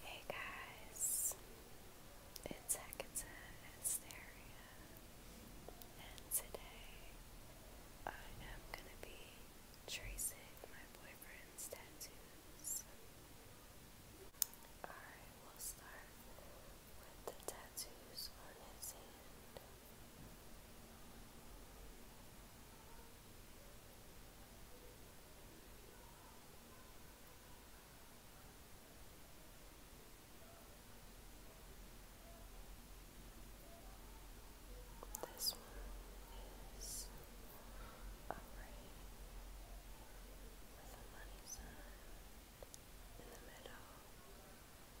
Hey guys, it's Hekata and today I am going to be tracing my boyfriend's tattoos. I will start with the tattoos on his hand. This one is upright with a money sign in the middle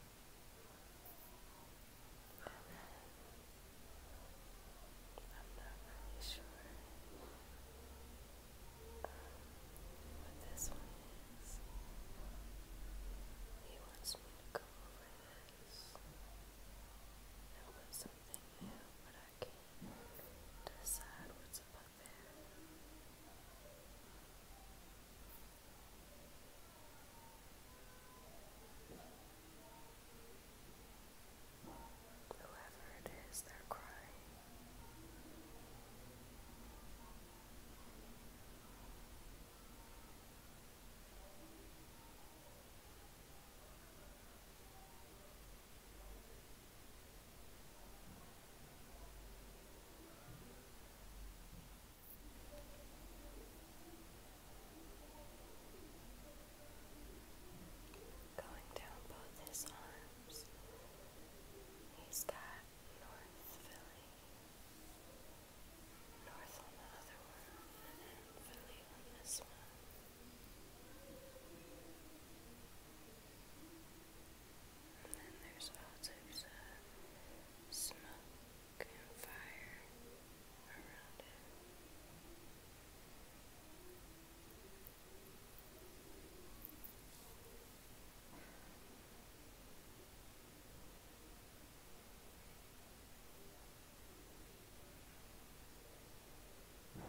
I'm not really sure what this one is. He wants me to go over this and put something new, but I can decide what's above it. Whoever it is, they're crying. Going down both his arms, he's got North Philly, North on the other one, Philly on this one. And then there's all types campfire around it. Now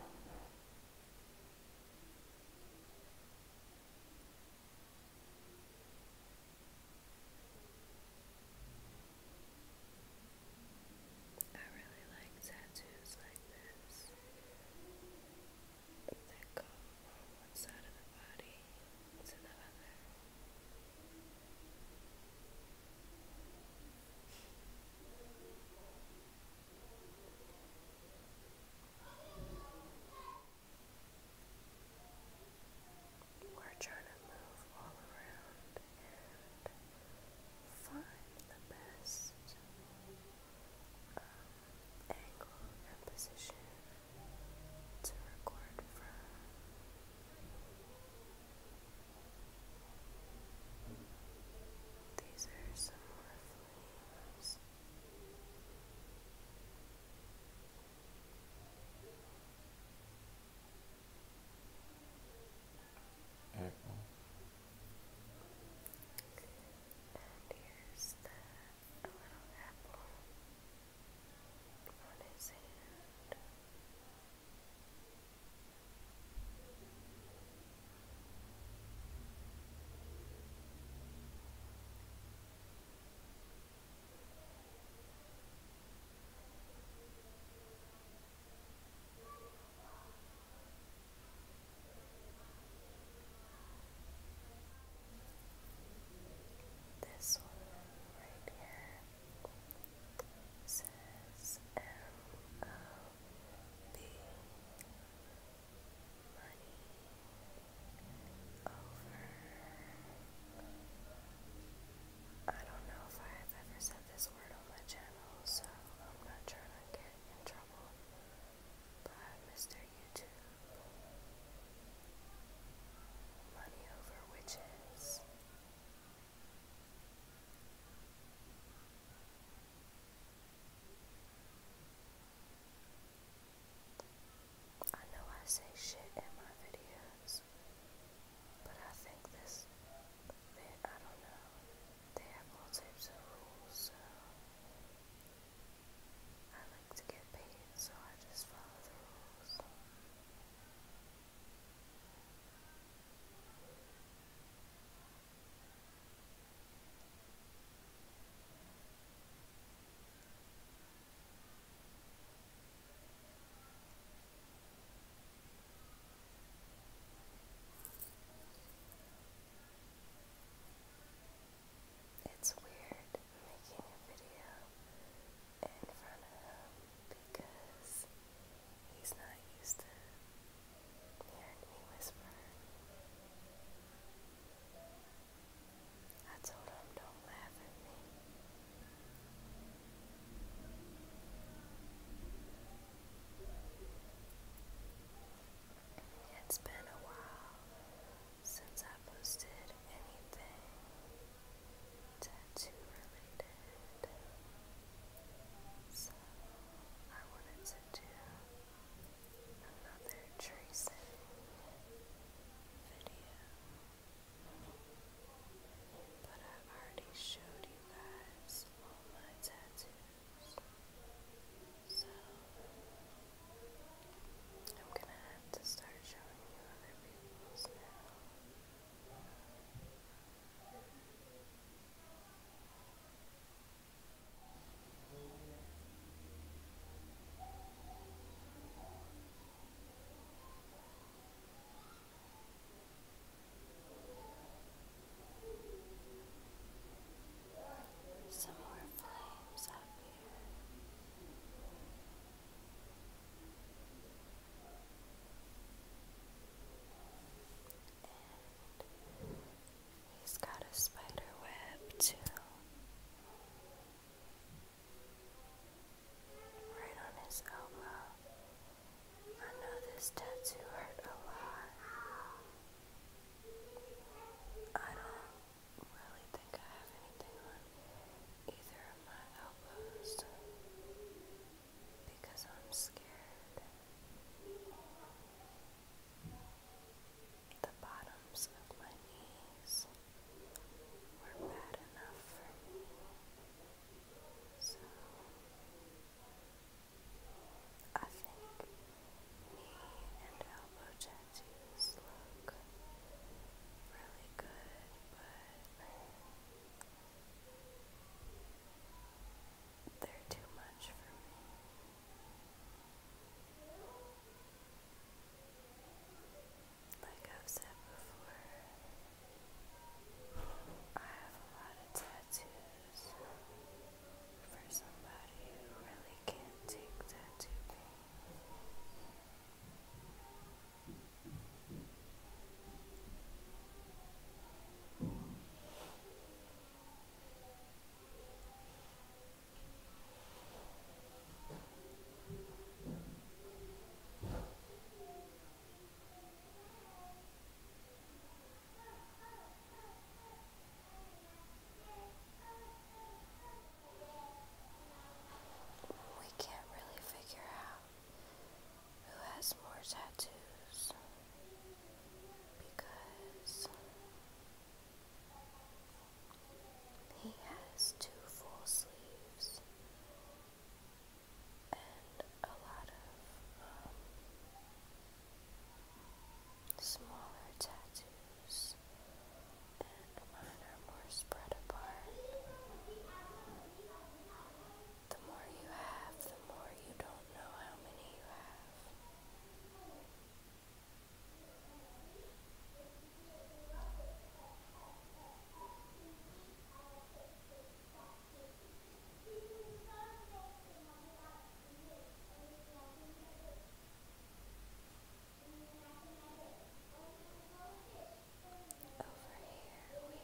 I really like tattoos like this that go from one side of the body to the other. We're trying to move all around and find the best um, angle and position to record from. These are some more flames. Apple. And here's the little apple on his hand. This one right here says M O B money over. I don't know if I've ever said this word on my channel, so I'm not trying to get in trouble. But Mr. YouTube, money over witches. I know I say shit in my videos, but I think this, they, I don't know, they have all types of rules, so I like to get paid, so I just follow the rules. It's weird making a video in front of him because he's not used to hearing me whisper. I told him, don't laugh at me. It's been a while since I posted anything tattoo related, so I wanted to do another tracing video. But I already showed you guys all my tattoos. So I'm gonna have to start showing you other people's now. Some more flames up here. And He's got a spider web too. Right on his elbow. I know this tattoo hurt a lot. I don't really think I have anything on either of my elbows because I'm scared. The bottoms of my knees were bad enough for me, so I think knee and elbow tattoos look really good, but they're too much for me. Like I've said before, I have a lot of tattoos for somebody who really can't take tattoo we can't really figure out who has more tattoos because he has two full sleeves and a lot of um, smaller tattoos, and mine are more spread apart. The more you have, the more you don't know how many you have. Over here we have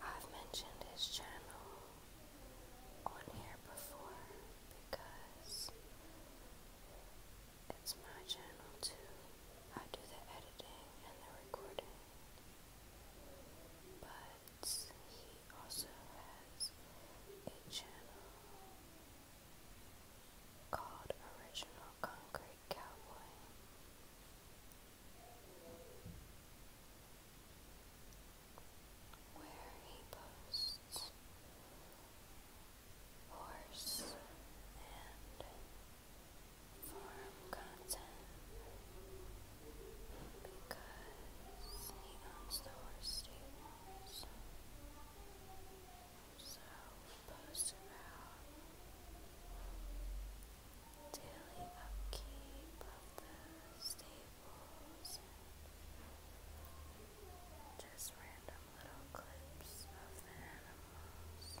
I've mentioned his channel on here before because it's my channel too. I do the editing and the recording but he also has a channel called Original Concrete Cowboy. Where he posts horse and form content because he owns the So post about daily upkeep of the stables just random little clips of the animals.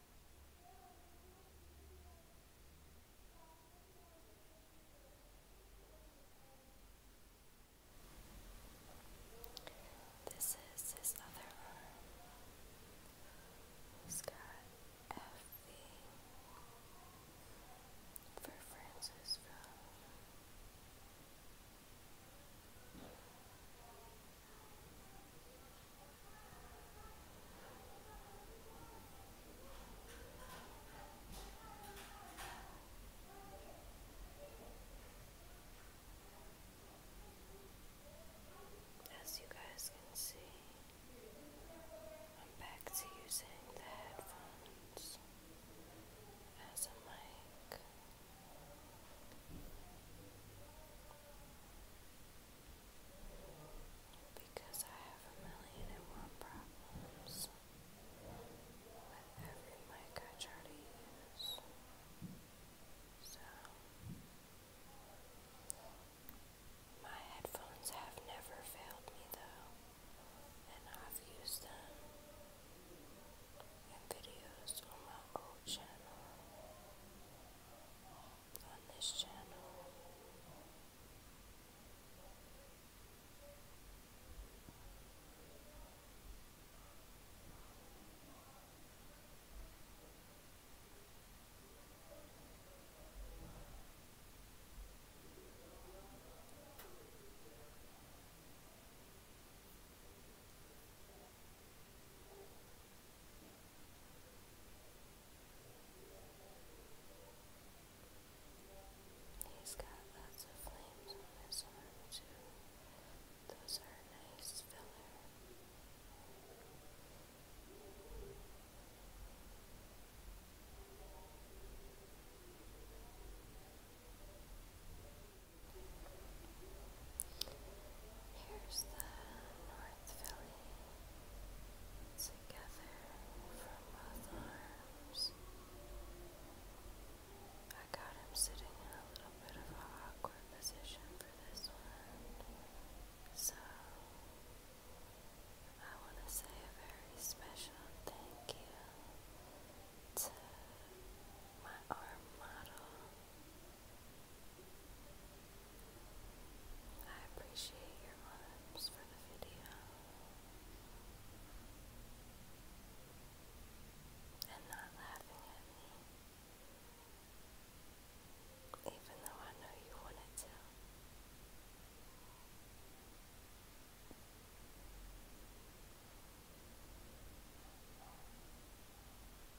This is his other arm. He's got FV for Francisville. As you guys can see, I'm back to using the headphones as a mic because I have a million and one problems with every mic I try to use. So, my headphones have never failed me though, and I've used them in videos on my old channel on this channel. He's got lots of flames on his arm too. Those are nice filler. Here's the North Philly together from both arms. I got him sitting in a little bit of an awkward position for this one, so I want to say a very special thank you to my arm model I appreciate your loves for the video. And not laughing at me. Even though I know you wanted to.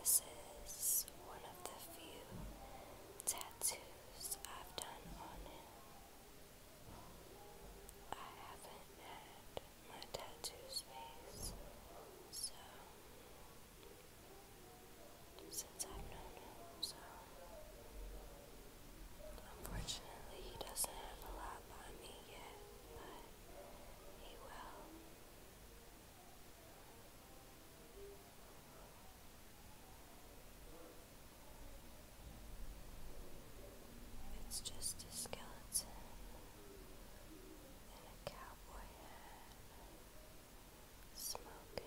This is one of the few tattoos I've done on him. I haven't had my tattoo space. So, since I've known him, so unfortunately, he doesn't have a lot by me yet, but he will. It's just a skeleton in a cowboy hat, smoking.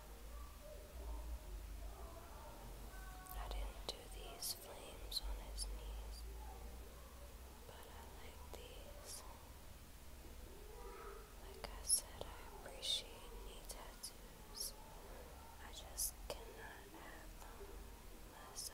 I didn't do these flames on his knees, but I like these. Like I said, I appreciate knee tattoos. I just cannot have them myself.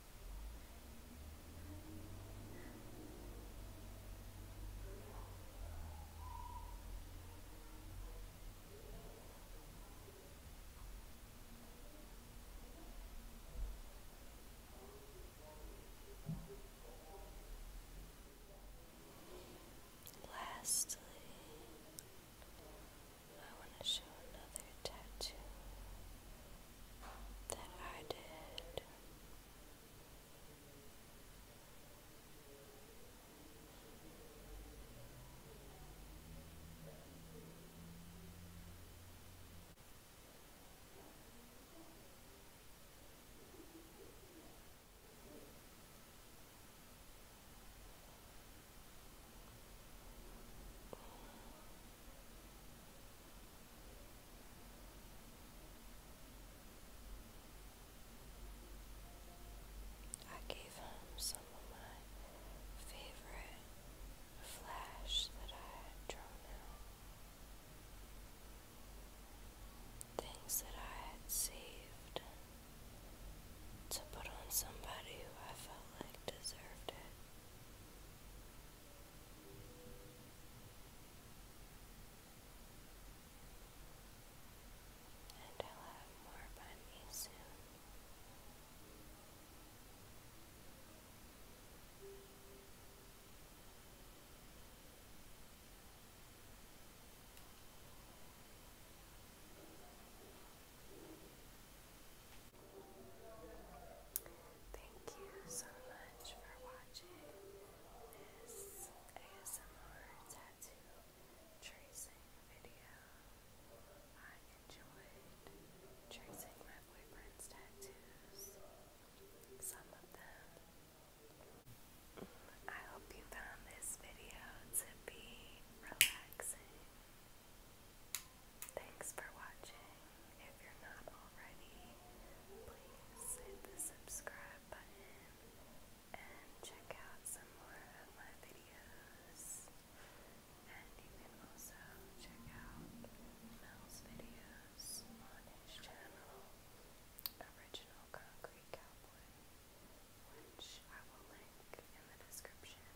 Lastly, I want to show another tattoo that I did. I gave him some of my favorite flash that I had drawn Things that I had saved to put on somebody who I felt like deserved it. And I'll have more by me soon. Thank you so much for watching this ASMR tattoo tracing video. I enjoyed tracing my boyfriend's tattoos, some of them. I hope you found this video to be relaxing Thanks for watching. If you're not already, please hit the subscribe button and check out some more of my videos. And you can also check out Mel's videos on his channel, Original Concrete Cowboy, which I will link in the description.